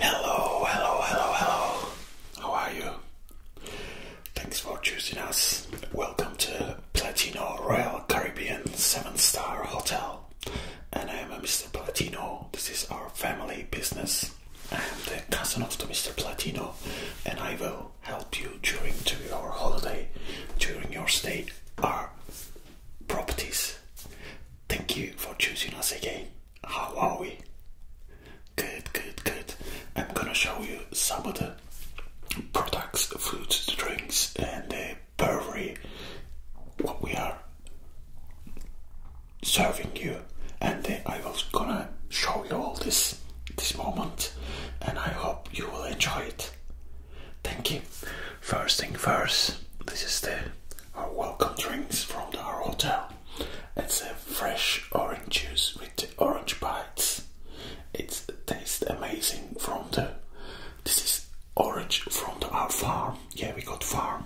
Hello, hello, hello, hello. How are you? Thanks for choosing us. Welcome to Platino Royal Caribbean 7 Star Hotel. And I am Mr. Platino. This is our family business. I am the cousin of the Mr. Platino, and I will help you during to your holiday, during your stay. Our properties. Thank you for choosing us again. How are we? Good, good, good. I'm gonna show you some of the products, foods, drinks, and the uh, brewery, what we are serving you. And uh, I was gonna show you all this this moment, and I hope you will enjoy it. Thank you. First thing first, this is the our welcome drinks from the, our hotel. It's a fresh orange juice with chocolate orange bites. It tastes amazing from the. This is orange from our farm. Yeah, we got farm.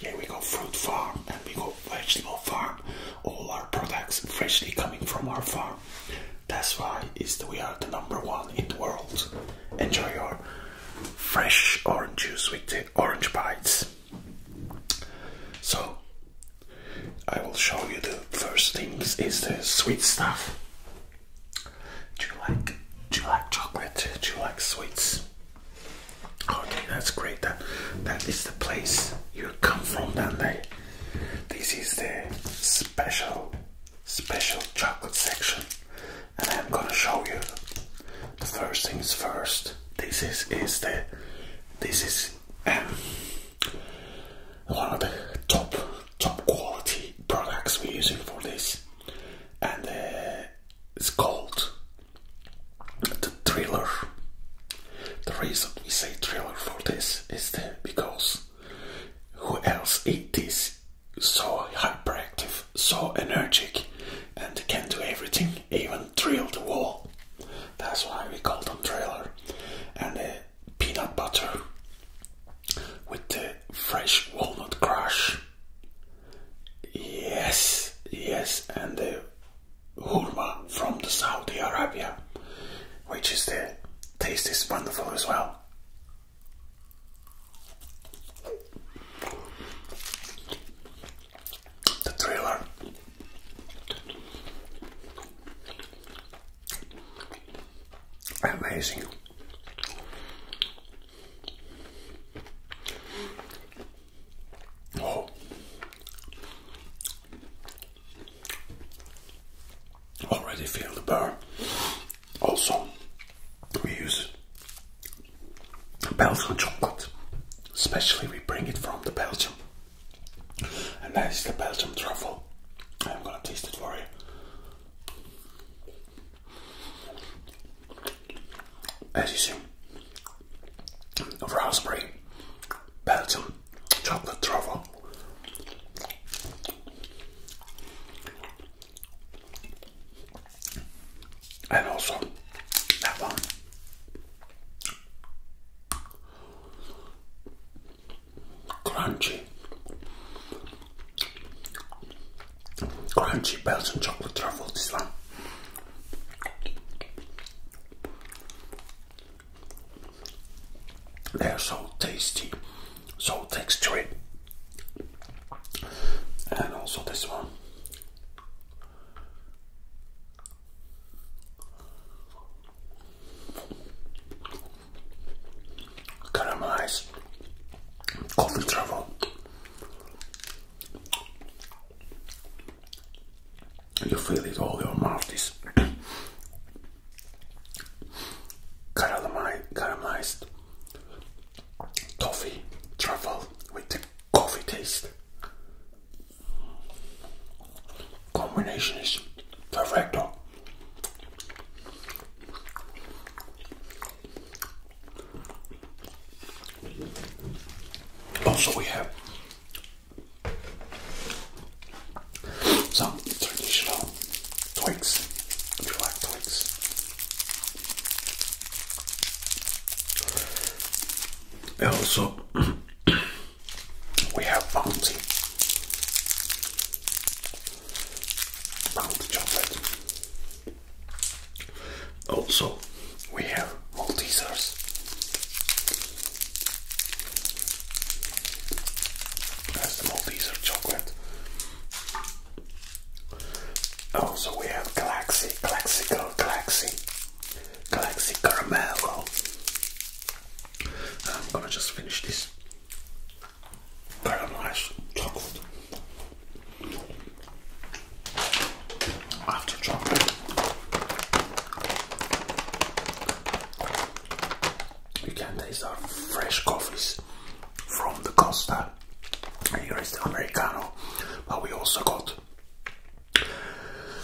Yeah, we got fruit farm and we got vegetable farm. All our products freshly coming from our farm. That's why is we are the number one in the world. Enjoy your fresh orange juice with the orange bites. So I will show you the first things is the sweet stuff. Do you like do you like chocolate? Do you like sweets? Okay, that's great. That that is the place you come from that day. This is the special special chocolate section and I'm gonna show you the first things first. This is is the this is um, one of the top top quality products we're using for this, and uh, it's called the Thriller. The reason we say Thriller for this is that because who else eat this so hyperactive, so energetic, and can do everything, even drill the wall. That's why we call them Thriller, and. Uh, peanut butter with the fresh walnut crush. Yes, yes, and the hurma from the Saudi Arabia, which is the taste is wonderful as well. The trailer. Amazing. Oh. Already feel the burn. Also, we use Belgian chocolate. Especially we bring it from the Belgium. And that is the Belgium truffle. I'm gonna taste it for you. As you see, raspberry, Belgium, chocolate truffle. And also that one crunchy, crunchy Belgian chocolate truffles. This one. They are so tasty, so textury, and also this one caramelized coffee travel. You feel it all your mouth is caramelized coffee truffle with the coffee taste. Combination is perfect. Also, we have some traditional twigs. If you like twigs, also we have bounty, bounty chocolate. Also, we have Maltesers. That's the Malteser chocolate. Also, we have Galaxy, Galaxy, Galaxy, Galaxy Caramel. I'm gonna just finish this caramelized chocolate. After chocolate, you can taste our fresh coffees from the Costa. Here is the Americano, but we also got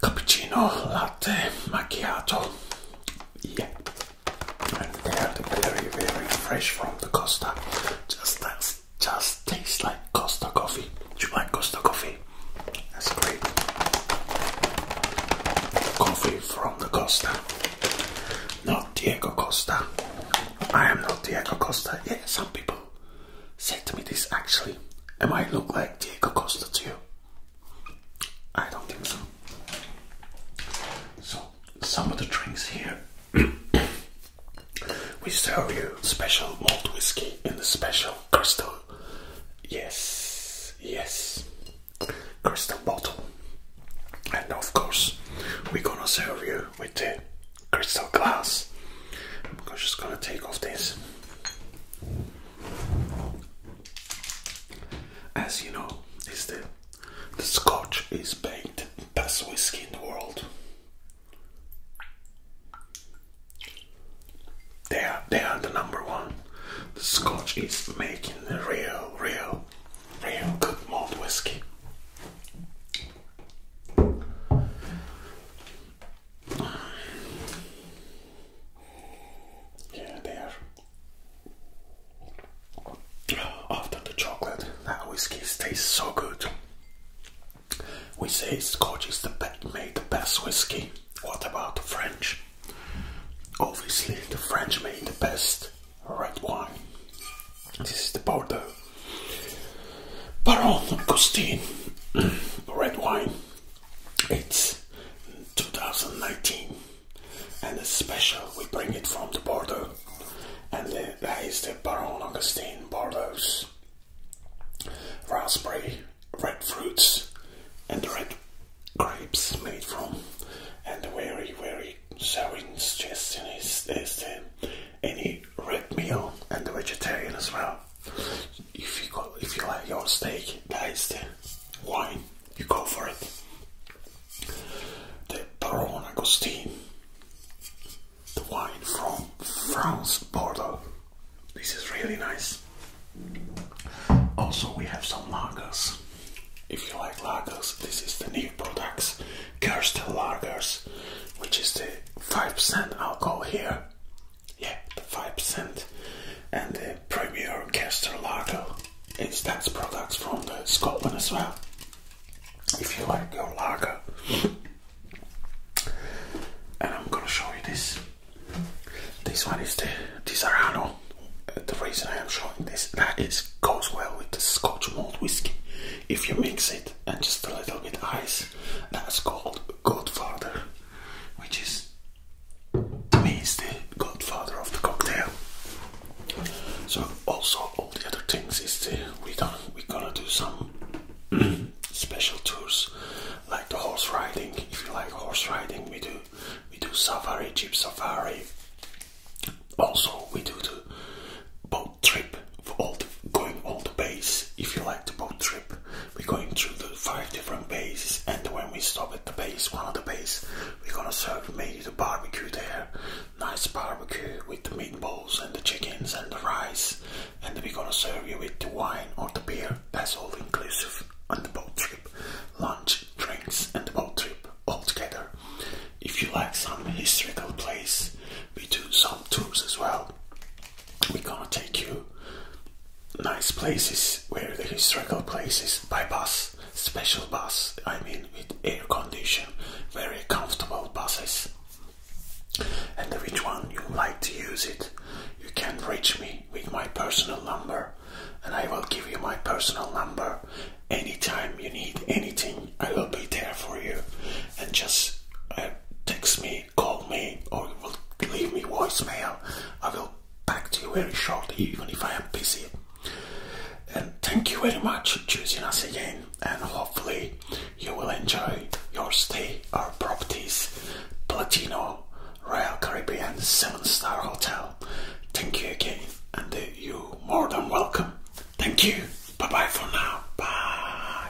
cappuccino, latte, macchiato. Yeah, and they are very, very fresh from the Costa. Just, just tastes like Costa coffee. Do you like Costa coffee? That's great. Coffee from the Costa, not Diego Costa. I am not Diego Costa. Yeah, some people said to me this actually. Am I look like Diego Costa to you? I don't think so. So, some of the drinks here. we serve you special malt whiskey in the special crystal. Yes, yes. Crystal bottle. And of course, we're gonna serve you with the crystal glass. I'm just gonna take off this. As you know, is the the Scotch is baked best whiskey in the world. They are they are the number one. The Scotch is making the real, real, real good malt whiskey. Yeah, they After the chocolate, that whiskey tastes so good. We say Scotch is the best, made the best whiskey. What about the French? Obviously, the French made the best red wine. This is the Bordeaux. Baron Augustine red wine it's 2019 and it's special. We bring it from the border, and the, the Baron Augustine Bordeaux raspberry, red fruits, and red grapes made from. And the very, very souring suggestion is, is the, any red meal and the vegetarian as well if you if you like your steak, that is the wine. You go for it. The Baron Agustin, the wine from France, Bordeaux. This is really nice. Also, we have some lagers. If you like lagers, this is the new products, Kerstel Lagers, which is the 5% alcohol here yeah, the 5% and the Premier Castor Lager. It's that's products from the Scotland as well. If you like your lager, and I'm gonna show you this. This one is the Tisarano. Uh, the reason I am showing this that it goes well with the Scotch malt whiskey. If you mix it and just a little bit ice, that's called Godfather which is me is the godfather of the cocktail. So also all the other things is the, we done we gonna do some special tours like the horse riding. If you like horse riding, we do we do safari, jeep safari. Also, we do the boat trip for going all the base. If you like the boat trip, we're going through the five different bases and when we stop at the base one of the bases, we're gonna serve maybe the barbecue there nice barbecue with the meatballs and the chickens and the rice and we're gonna serve you with the wine or the beer that's all inclusive on the boat trip lunch drinks and the boat trip all together if you like some historical place we do some tours as well. We're gonna take you nice places where the historical places by bus, special bus, I mean with air condition, very comfortable buses. And which one you like to use it, you can reach me with my personal number and I will give you my personal number anytime you need anything. I will be there for you and just uh, text me call me, or you will leave me voicemail. I will back to you very shortly, even if I am busy. And thank you very much for choosing us again, and hopefully you will enjoy your stay our properties, Platino Royal Caribbean Seven Star Hotel. Thank you again, and you more than welcome. Thank you. Bye bye for now. Bye.